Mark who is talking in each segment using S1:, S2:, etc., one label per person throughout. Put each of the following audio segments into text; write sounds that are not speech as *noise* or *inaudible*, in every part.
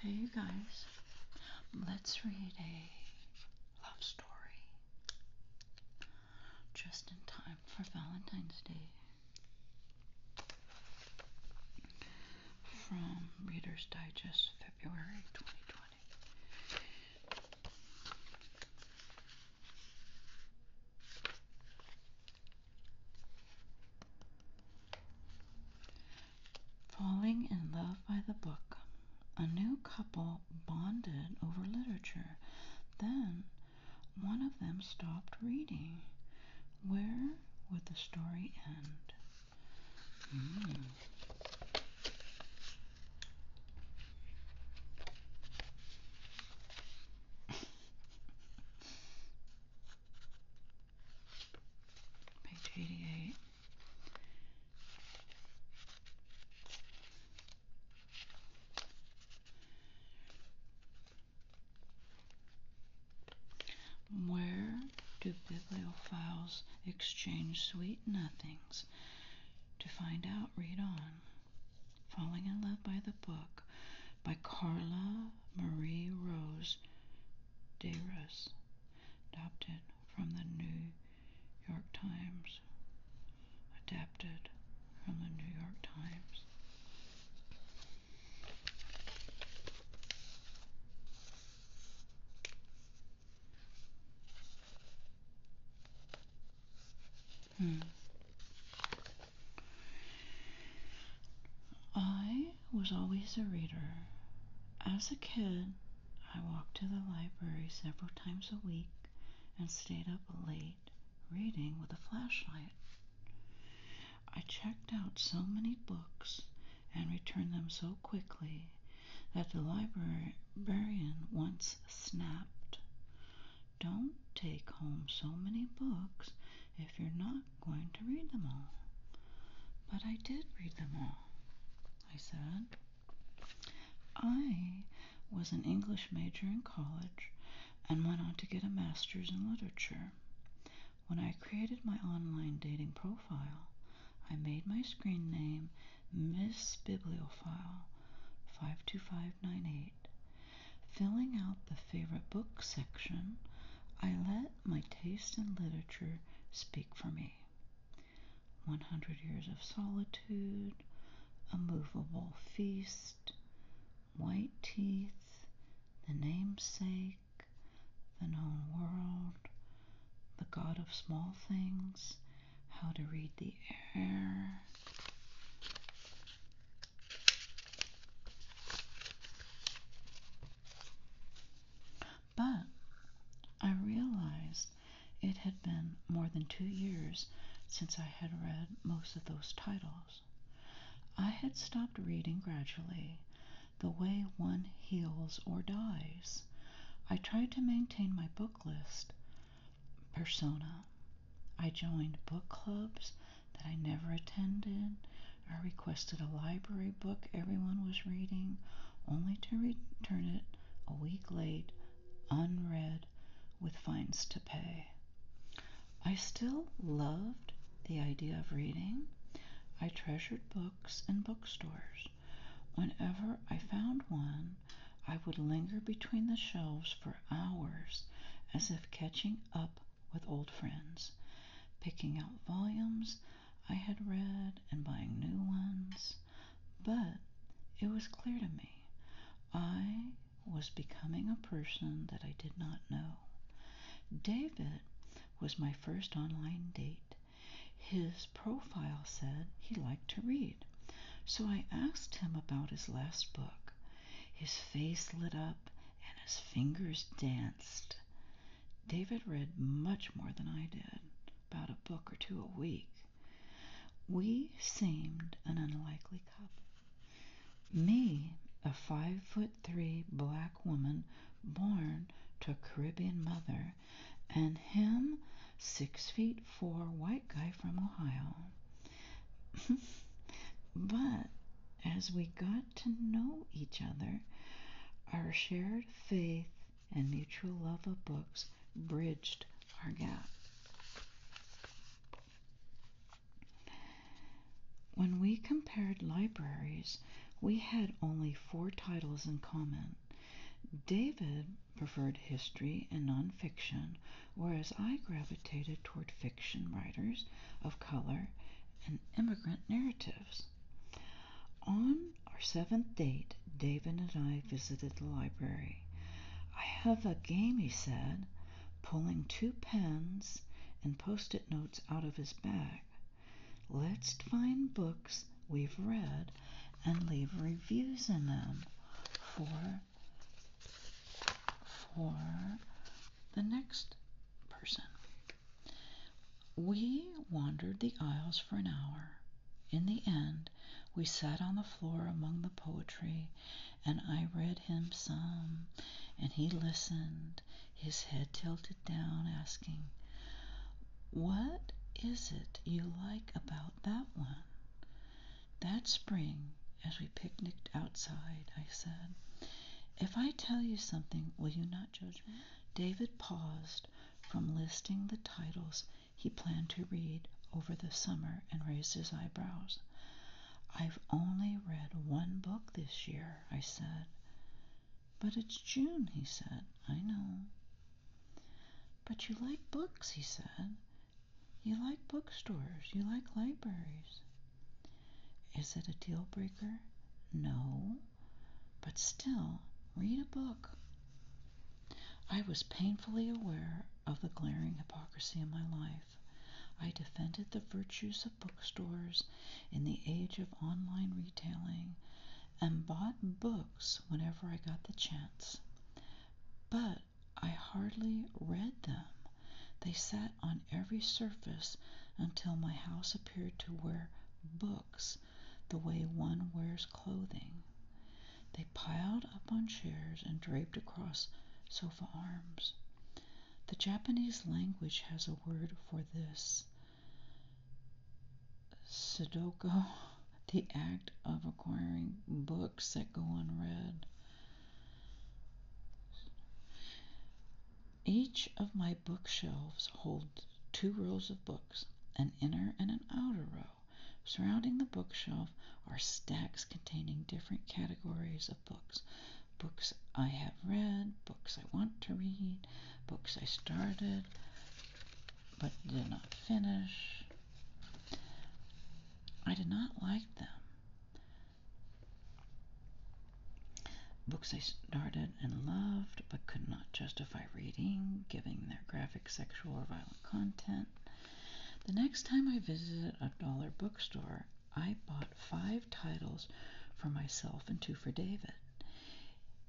S1: Hey, you guys, let's read a love story just in time for Valentine's Day from Reader's Digest, February 2020. Falling in Love by the Book. A new couple bonded over literature. Then one of them stopped reading. Where would the story end? Hmm. *laughs* Page 88. Where do bibliophiles exchange sweet nothings? To find out, read on. Falling in Love by the Book by Carla Marie Rose DeRus, adopted from the New York Times. Adapted from the New York Times. Hmm. I was always a reader. As a kid, I walked to the library several times a week and stayed up late reading with a flashlight. I checked out so many books and returned them so quickly that the librarian once snapped. Don't take home so many books if you're not going to read them all. But I did read them all, I said. I was an English major in college and went on to get a master's in literature. When I created my online dating profile, I made my screen name Miss Bibliophile 52598 Filling out the favorite book section, I let my taste in literature speak for me. 100 Years of Solitude, A Movable Feast, White Teeth, The Namesake, The Known World, The God of Small Things, How to Read the Air. But I realized it had been more than two years since I had read most of those titles. I had stopped reading gradually, the way one heals or dies. I tried to maintain my book list, persona. I joined book clubs that I never attended. I requested a library book everyone was reading, only to return it a week late, unread, with fines to pay. I still loved the idea of reading. I treasured books and bookstores. Whenever I found one, I would linger between the shelves for hours, as if catching up with old friends, picking out volumes I had read and buying new ones. But it was clear to me I was becoming a person that I did not know. David was my first online date. His profile said he liked to read. So I asked him about his last book. His face lit up and his fingers danced. David read much more than I did, about a book or two a week. We seemed an unlikely couple. Me, a five foot three black woman born to a Caribbean mother, and him, six feet four white guy from Ohio. *laughs* but as we got to know each other, our shared faith and mutual love of books bridged our gap. When we compared libraries, we had only four titles in common David preferred history and nonfiction, whereas I gravitated toward fiction writers of color and immigrant narratives. On our seventh date, David and I visited the library. I have a game, he said, pulling two pens and post it notes out of his bag. Let's find books we've read and leave reviews in them for for the next person. We wandered the aisles for an hour. In the end, we sat on the floor among the poetry, and I read him some, and he listened, his head tilted down, asking, What is it you like about that one? That spring, as we picnicked outside, I said, If I tell you something, will you not judge me? David paused from listing the titles he planned to read over the summer and raised his eyebrows. I've only read one book this year, I said. But it's June, he said. I know. But you like books, he said. You like bookstores. You like libraries. Is it a deal breaker? No. But still, read a book. I was painfully aware of the glaring hypocrisy in my life. I defended the virtues of bookstores in the age of online retailing and bought books whenever I got the chance, but I hardly read them. They sat on every surface until my house appeared to wear books the way one wears clothing. They piled up on chairs and draped across sofa arms. The Japanese language has a word for this. Sudoku, the act of acquiring books that go unread. Each of my bookshelves holds two rows of books, an inner and an outer row. Surrounding the bookshelf are stacks containing different categories of books books I have read, books I want to read, books I started, but did not finish. I did not like them. Books I started and loved but could not justify reading, giving their graphic, sexual, or violent content. The next time I visited a dollar bookstore, I bought five titles for myself and two for David.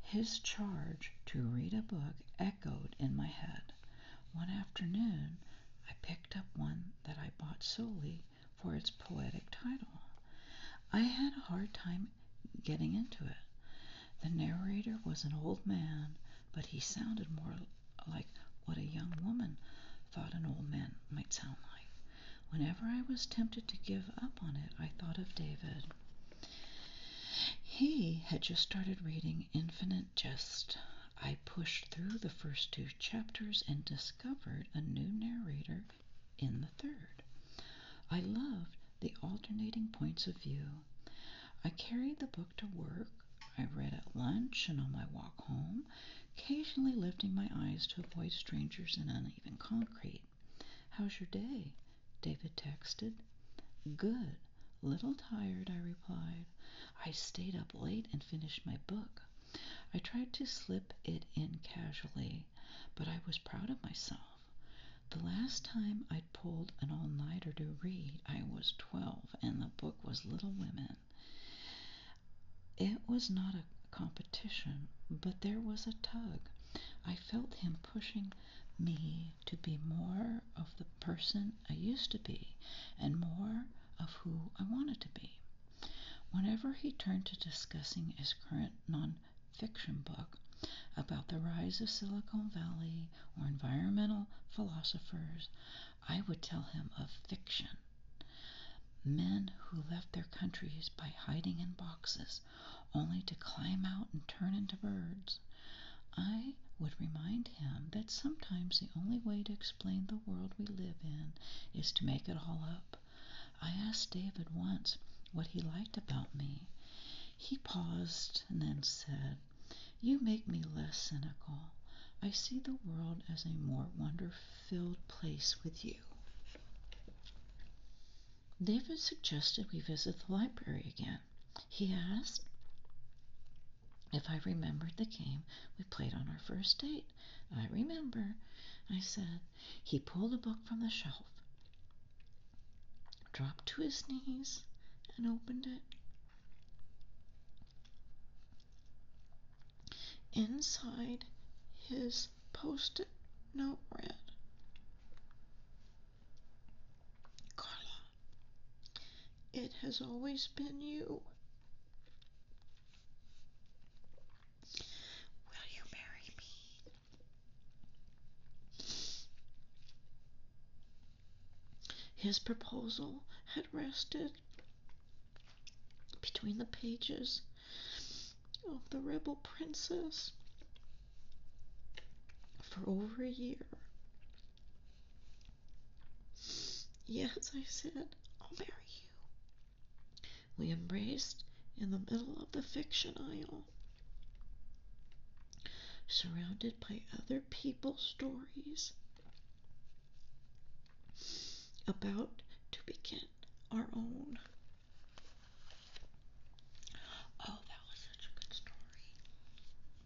S1: His charge to read a book echoed in my head. One afternoon, I picked up one that I bought solely for its poetic title. I had a hard time getting into it. The narrator was an old man, but he sounded more like what a young woman thought an old man might sound like. Whenever I was tempted to give up on it, I thought of David. He had just started reading Infinite Jest. I pushed through the first two chapters and discovered a new narrator in the third. I loved the alternating points of view. I carried the book to work. I read at lunch and on my walk home, occasionally lifting my eyes to avoid strangers in uneven concrete. How's your day? David texted. Good. Little tired, I replied. I stayed up late and finished my book. I tried to slip it in casually, but I was proud of myself. The last time I'd pulled an all nighter to read, I was 12, and the book was Little Women. It was not a competition, but there was a tug. I felt him pushing me to be more of the person I used to be and more of who I wanted to be. Whenever he turned to discussing his current nonfiction book about the rise of Silicon Valley or environmental philosophers, I would tell him of fiction men who left their countries by hiding in boxes only to climb out and turn into birds. I would remind him that sometimes the only way to explain the world we live in is to make it all up. I asked David once what he liked about me. He paused and then said, You make me less cynical. I see the world as a more wonder filled place with you. David suggested we visit the library again. He asked if I remembered the game we played on our first date. I remember, I said. He pulled a book from the shelf, dropped to his knees, and opened it. Inside his post-it note read? Carla, it has always been you. Will you marry me? His proposal had rested between the pages of the Rebel Princess for over a year. Yes, I said, I'll marry you. We embraced in the middle of the fiction aisle, surrounded by other people's stories about to begin our own. Oh, that was such a good story.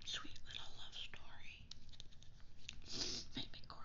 S1: Sweet little love story. Made me cry.